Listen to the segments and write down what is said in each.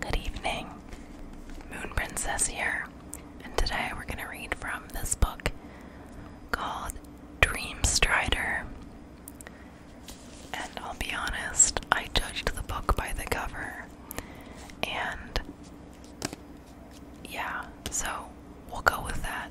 Good evening, Moon Princess here, and today we're going to read from this book called Dream Strider. And I'll be honest, I judged the book by the cover, and yeah, so we'll go with that.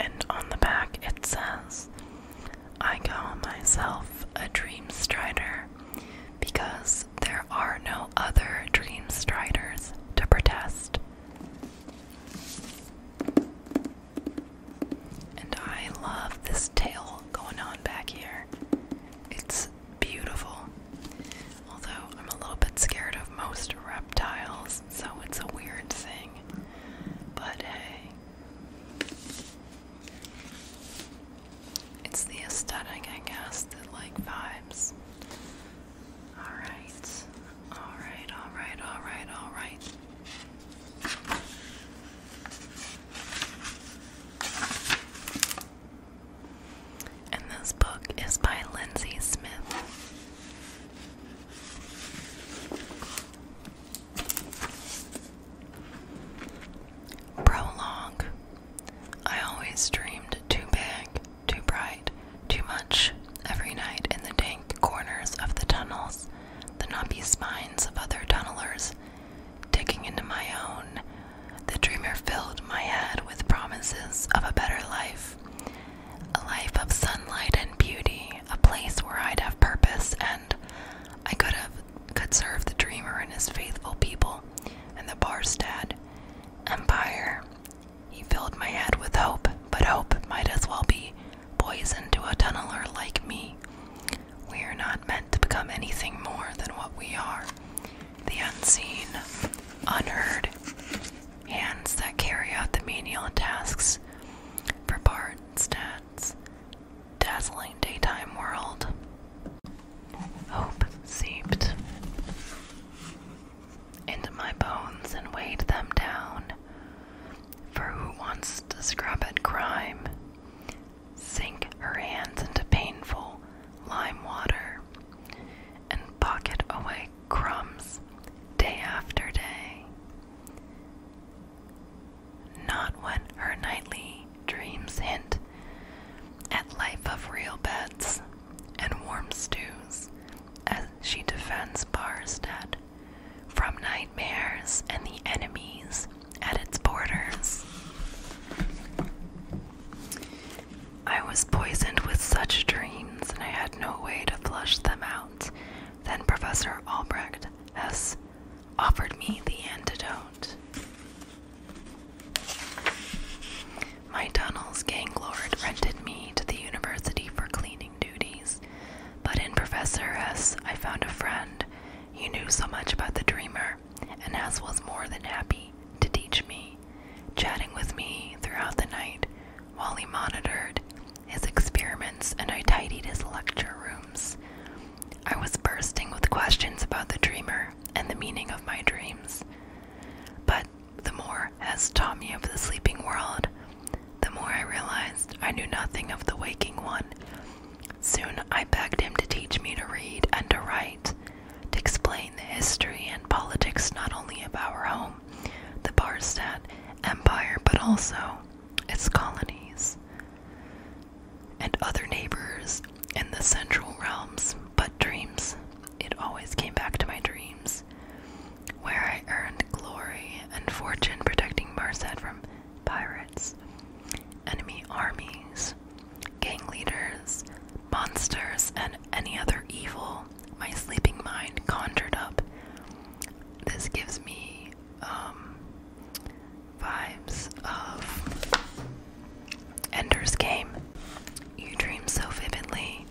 And on the back it says, I call myself a dream strider because there are no other dream striders to protest. And I love this tail going on back here. It's beautiful. Although I'm a little bit scared of most reptiles, so it's a weird thing. But hey. It's the aesthetic, I guess, that like vibes. Alright. Alright, alright, alright, alright. And this book is by Lindsay Smith. Prologue I always dreamed too big, too bright, too much, every night in the dank corners of the tunnels, the knobby spines of other tunnelers, digging into my own. The dreamer filled my head with promises of a better life, a life of sunlight and beauty, a place where I'd have purpose and I could have could serve the dreamer and his faithful people and the Barstad Empire. He filled my head with hope, but hope might as well be boys into a tunneler like me. We are not meant to become anything more than what we are the unseen, unheard hands that carry out the menial tasks for Bardstat's dazzling daytime world. Hope seeped into my bones and weighed them down for who wants to scrub at crime? Sink her hands into painful lime water and pocket away crumbs day after day. Not when her nightly dreams hint at life of real beds and warm stews as she defends Barstead from nightmares and the enemies at its borders. I was poisoned with such dreams, and I had no way to flush them out. Then Professor Albrecht S. offered me the antidote. My tunnel's gang lord rented me to the university for cleaning duties. But in Professor S, I found a friend. He knew so much about the dreamer, and S was more than happy to teach me, chatting with me throughout the night while he monitored his experiments and I tidied his lecture rooms. I was bursting with questions about the dreamer and the meaning of my dreams. But the more S taught me of the sleeping world, the more I realized I knew nothing of the waking one. Soon I begged him to teach me to read and to write, to explain the history and politics not only of our home, the Barstad Empire, but also its colonies and other neighbors in the central realms. But dreams, it always came back to my dreams where I earned glory and fortune protecting Marset from pirates, enemy armies, gang leaders, monsters, and any other evil my sleeping mind conjured up. This gives me um, vibes of Ender's Game. You dream so vividly,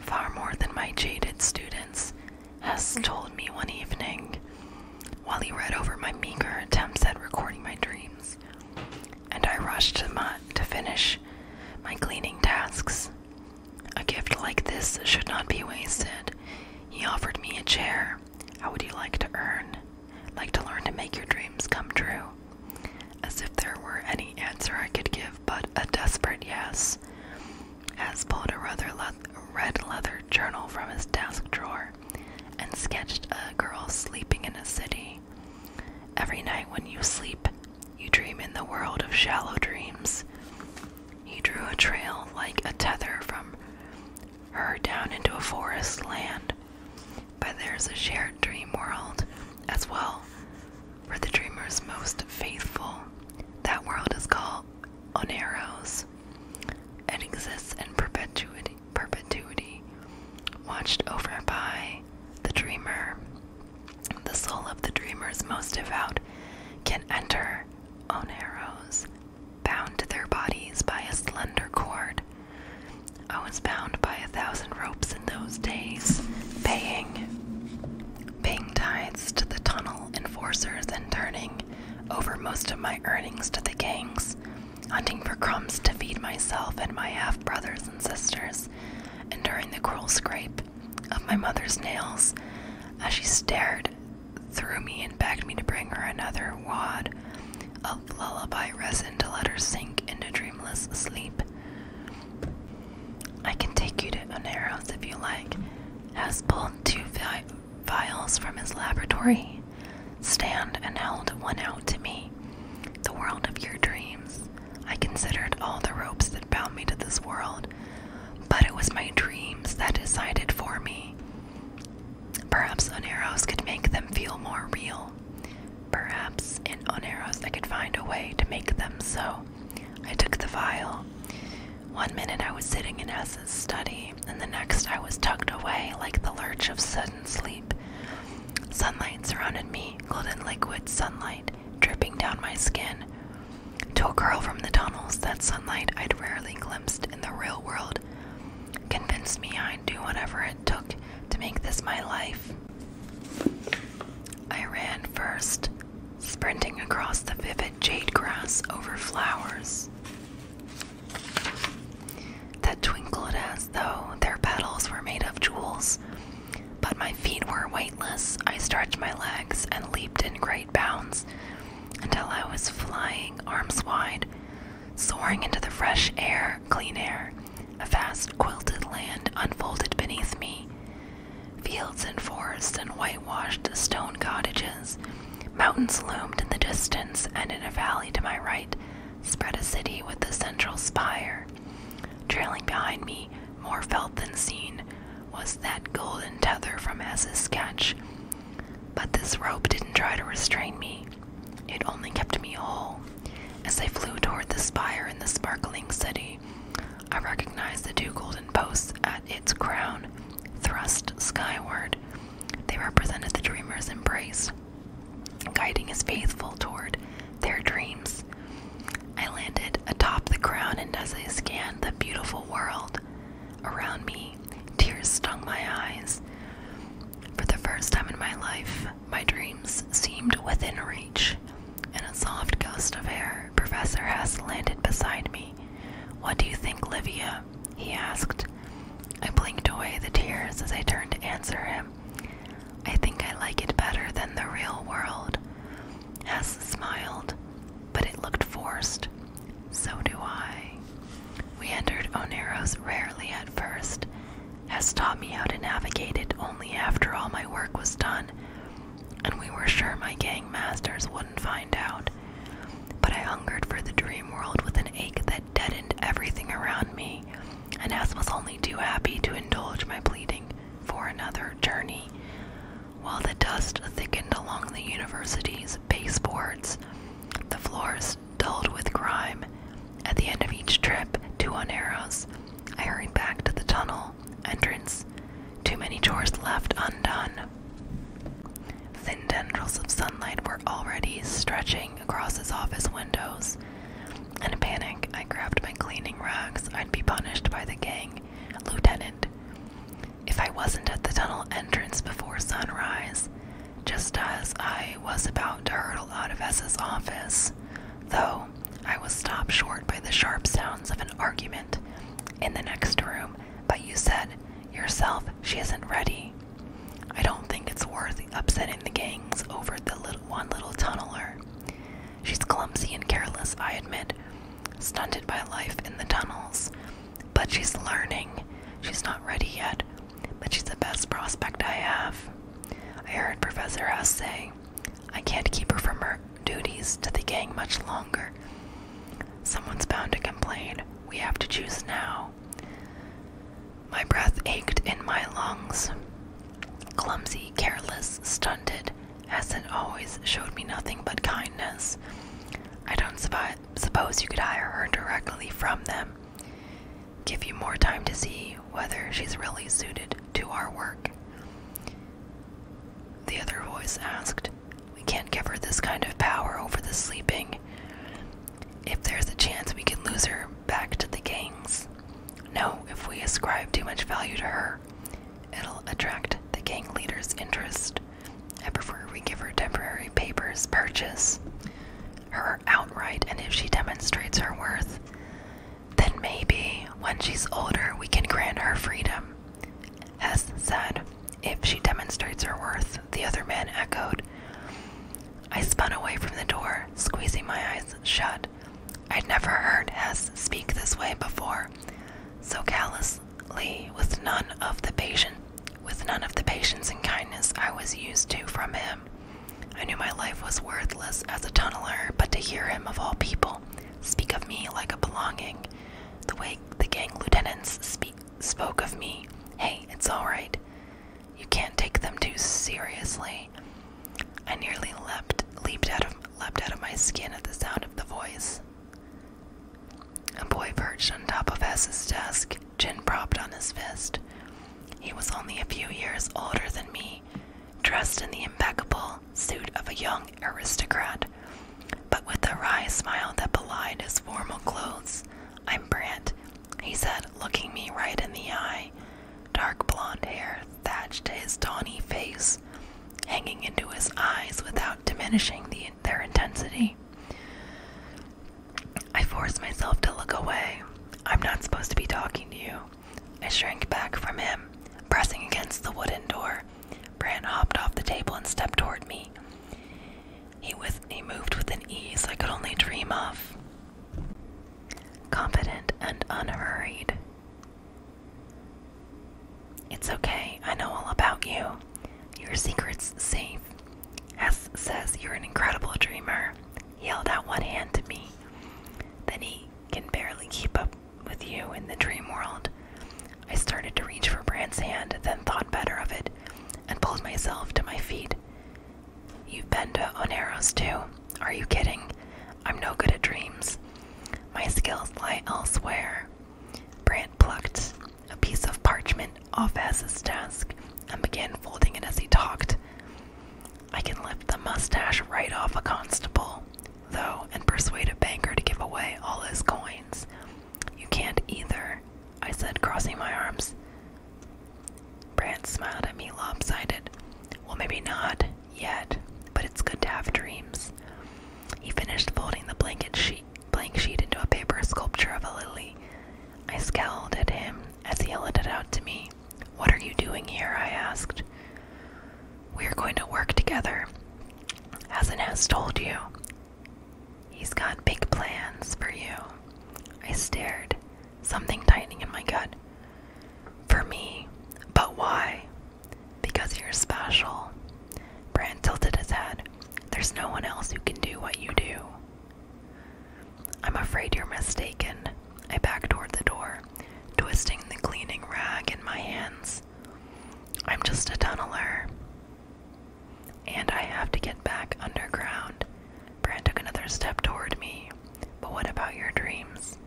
far more than my jaded students, Hess told me one evening while he read over my meager attempts at recording my dreams, and I rushed to, my, to finish my cleaning tasks. A gift like this should not be wasted. He offered me a chair. How would you like to earn? Like to learn to make your dreams come true? As if there were any answer I could give but a desperate yes. Has pulled a rather red leather journal from his desk drawer and sketched a girl sleeping in a city. Every night when you sleep, you dream in the world of shallow dreams. He drew a trail like a tether from her down into a forest land. But there's a shared dream world as well for the dreamer's most faithful. That world is called on arrows. and exists in perpetuity, perpetuity, watched over by the dreamer. The soul of the dreamer's most devout can enter on arrows, bound to their bodies by a slender cord. Oh, I was bound by a thousand ropes in those days, paying Paying tithes to the tunnel enforcers and turning over most of my earnings to the gangs, hunting for crumbs to feed myself and my half brothers and sisters, enduring the cruel scrape of my mother's nails as she stared through me and begged me to bring her another wad of lullaby resin to let her sink into dreamless sleep. I can take you to Oneros if you like, has pulled vials from his laboratory. Stand and held one out to me. The world of your dreams. I considered all the ropes that bound me to this world, but it was my dreams that decided for me. Perhaps Oneros could make them feel more real. Perhaps in Oneros I could find a way to make them so. I took the vial. One minute I was sitting in S's study, and the next I was tucked away like the lurch of sudden sleep. Sunlight surrounded me, golden liquid sunlight dripping down my skin. To a girl from the tunnels, that sunlight I'd rarely glimpsed in the real world convinced me I'd do whatever it took to make this my life. I ran first, sprinting across the vivid jade grass over flowers. That twinkled as though their petals were made of jewels, but my feet were weightless. I stretched my legs and leaped in great bounds until I was flying arms wide, soaring into the fresh air, clean air. A vast quilted land unfolded beneath me, Fields and forests and whitewashed stone cottages. Mountains loomed in the distance, and in a valley to my right spread a city with a central spire. Trailing behind me, more felt than seen, was that golden tether from S's sketch. But this rope didn't try to restrain me. It only kept me whole. As I flew toward the spire in the sparkling city, I recognized the two golden posts at its crown thrust skyward, they represented the dreamer's embrace, guiding his faithful toward their dreams. I landed atop the crown, and as I scanned the beautiful world around me, tears stung my eyes. For the first time in my life, my dreams seemed within reach, in a soft gust of air Professor, Hess landed beside me. What do you think, Livia? He asked. I blinked away the tears as I turned to answer him. I think I like it better than the real world. Hess smiled, but it looked forced. So do I. We entered Oneros rarely at first. Hess taught me how to navigate it only after all my work was done, and we were sure my gang would could find out. But I hungered for the dream world with an ache that deadened everything around me, and as was only too happy to indulge my pleading for another journey. While the dust thickened along the university's baseboards, the floors dulled with grime. At the end of each trip, two on arrows, I hurried back to the tunnel entrance. Too many chores left undone. Thin tendrils of sunlight were already stretching across his office windows. In a panic, I grabbed my cleaning rags. I'd be punished by the gang, Lieutenant. If I wasn't at the tunnel entrance before sunrise, just as I was about to hurtle out of S's office, though I was stopped short by the sharp sounds of an argument in the next room but you said yourself she isn't ready. I don't think it's worth upsetting the gangs over the little, one little tunneler. She's clumsy and careless, I admit, stunted by life in the tunnels. But she's learning. She's not ready yet, but she's the best prospect I have. I heard Professor S say, I can't keep her from her duties to the gang much longer. Someone's bound to complain. We have to choose now. My breath ached in my lungs. Clumsy, careless, stunted, Essen always showed me nothing but kindness. I don't suppose you could hire her directly from them. Give you more time to see whether she's really suited to our work. The other voice asked, We can't give her this kind of power over the sleeping. If there's a chance we can lose her back to the gangs. No, if we ascribe too much value to her, it'll attract the gang leader's interest. I prefer we give her temporary papers purchase her outright, and if she demonstrates her worth, then maybe when she's older we can grant her freedom. Hess said, if she demonstrates her worth, the other man echoed. I spun away from the door, squeezing my eyes shut. I'd never heard S speak this way before, so callously, with none of the patient, with none of the patience and kindness I was used to from him. I knew my life was worthless as a tunneler, but to hear him of all people speak of me like a belonging the way the gang lieutenants speak, spoke of me. Hey, it's alright. You can't take them too seriously. I nearly leapt, leaped out of, leapt out of my skin at the sound of the voice. A boy perched on top of S's desk, chin propped on his fist. He was only a few years older than me, dressed in the impeccable suit of a young aristocrat, but with a wry smile that belied his formal clothes. I'm Brant, he said, looking me right in the eye. Dark blonde hair thatched his tawny face, hanging into his eyes without diminishing the, their intensity. I forced myself to look away. I'm not supposed to be talking to you. I shrank back from him, pressing against the wooden door Brant hopped off the table and stepped toward me. He, with, he moved with an ease I could only dream of. Confident and unhurried. It's okay, I know all about you. Your secret's safe. S says you're an incredible dreamer. He held out one hand to me. Then he can barely keep up with you in the dream world. I started to reach for Brant's hand, then thought better of it, and pulled myself to my feet. You've been to Oneros too. Are you kidding? I'm no good at dreams. My skills lie elsewhere. Brant plucked a piece of parchment off Asa's desk and began folding it as he talked. I can lift the mustache right off a constable, though, and persuade a banker to give away all his coins. You can't either, I said, crossing my arms. Brant smiled at me lopsided. Well, maybe not yet, but it's good to have dreams. He finished folding the blanket sheet, blank sheet into a paper sculpture of a lily. I scowled at him as he held it out to me. What are you doing here? I asked. We're going to work together, Hasn't Has told you? He's got big plans for you. I stared, something tightening in my gut. For me, but why? Because you're special. Brand tilted his head. There's no one else who can do what you do. I'm afraid you're mistaken. I backed toward the door, twisting the cleaning rag in my hands. I'm just a tunneler. And I have to get back underground. Bran took another step toward me. But what about your dreams?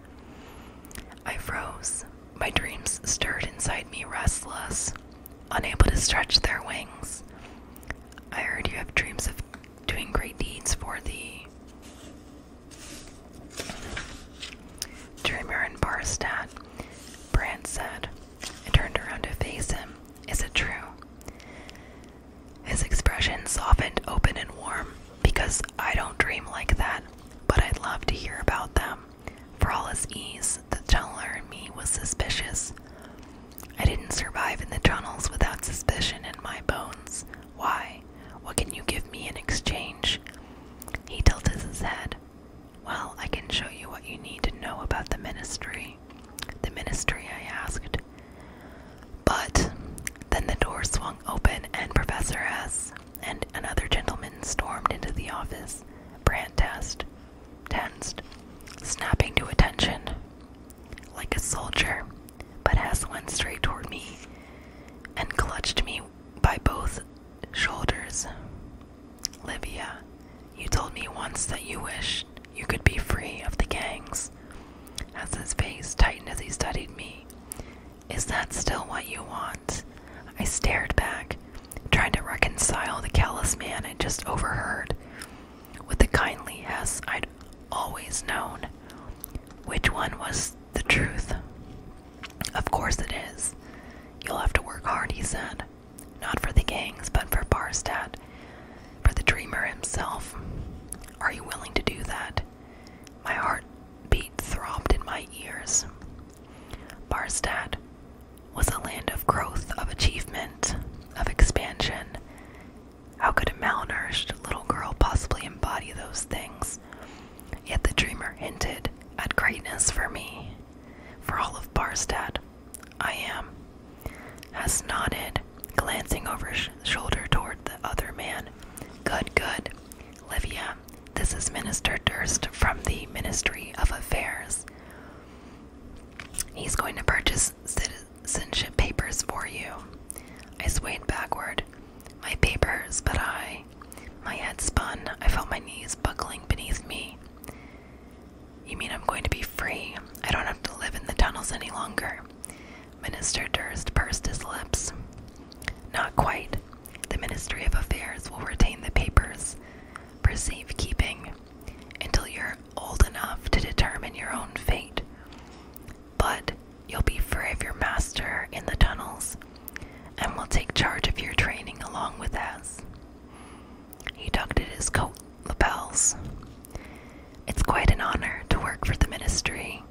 I froze. My dreams stirred inside me, restless, unable to stretch their wings. I heard you have dreams of doing great deeds for thee. Dreamer and Barstad, Brand said, and turned around to face him. Is it true? His expression softened open and warm, because I don't dream like that, but I'd love to hear about them. For all his ease, the tunneler in me was suspicious. I didn't survive in the tunnels without suspicion in my bones. Why? What can you give me in exchange? He tilted his head. Well, I can show you what you need to know about the ministry. The ministry, I asked. But then the door swung open, and Professor S. and another gentleman stormed into the office, Brandt test, tensed, snapping to attention like a soldier. But S went straight toward me and clutched me by both shoulders. Livia, you told me once that you wished you could be free of the gangs. As his face tightened as he studied me, is that still what you want? I stared back, trying to reconcile the callous man I'd just overheard with the kindly Hess I'd always known. Which one was the truth? Of course it is. You'll have to work hard, he said. Not for the gangs, but for Barstad, for the dreamer himself. Are you willing to do that? My heart beat throbbed in my ears. Barstad was a land of growth, of achievement, of expansion. How could a malnourished little girl possibly embody those things? Yet the dreamer hinted at greatness for me. For all of Barstad, I am. As nodded, glancing over shoulder toward the other man. Good, good. Livia, this is Minister Durst from the Ministry of Affairs. He's going to purchase citizenship papers for you. I swayed backward. My papers, but I. My head spun. I felt my knees buckling beneath me. You mean I'm going to be free? I don't have to live in the tunnels any longer. Minister Durst pursed his lips. Not quite. The Ministry of Affairs will retain the papers for safekeeping until you're old enough to determine your own fate. But you'll be free of your master in the tunnels and will take charge of your training along with us. He tucked at his coat lapels. It's quite an honor to work for the ministry,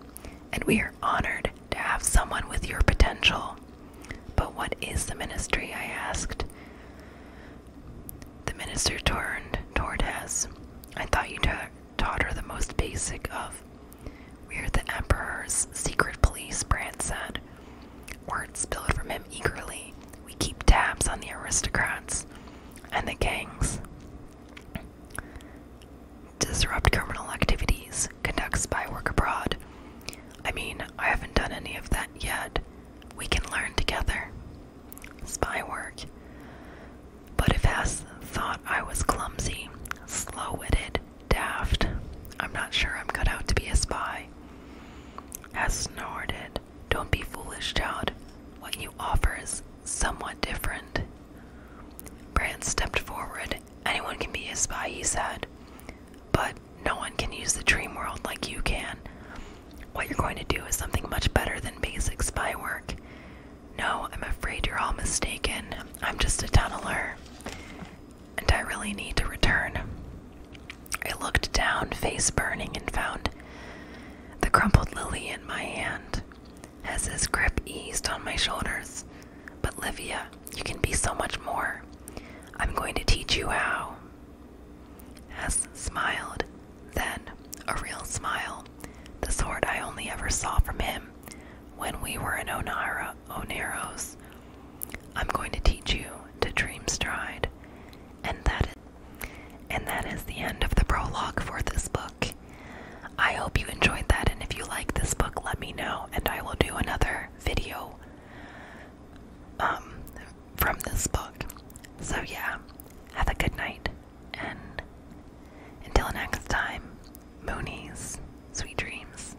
and we are honored to have someone with your potential. But what is the ministry? I asked. The minister turned toward us. I thought you ta taught her the most basic of. We're the Emperor's secret police, Brant said. Words spilled from him eagerly. We keep tabs on the aristocrats and the gangs. Disrupt criminal activities, conduct spy work abroad. I mean, I haven't done any of that yet. We can learn together. Spy work. But if S thought I was clumsy, slow witted, daft. I'm not sure I'm cut out to be a spy. Has snorted. Don't be foolish, child. What you offer is somewhat different. Brand stepped forward. Anyone can be a spy, he said. But no one can use the dream world like you can. What you're going to do is something much better than basic spy work. No, I'm afraid you're all mistaken. I'm just a tunneler and I really need to return. I looked down, face burning, and found the crumpled lily in my hand. As his grip eased on my shoulders. But Livia, you can be so much more. I'm going to teach you how. Hess smiled, then, a real smile, the sort I only ever saw from him when we were in Onara. Oh, Oneros. I'm going to teach you to dream stride. And that is, and that is the end of the prologue for this book. I hope you enjoyed that and if you like this book let me know and I will do another video um from this book. So yeah, have a good night and until next time, Moonies, sweet dreams.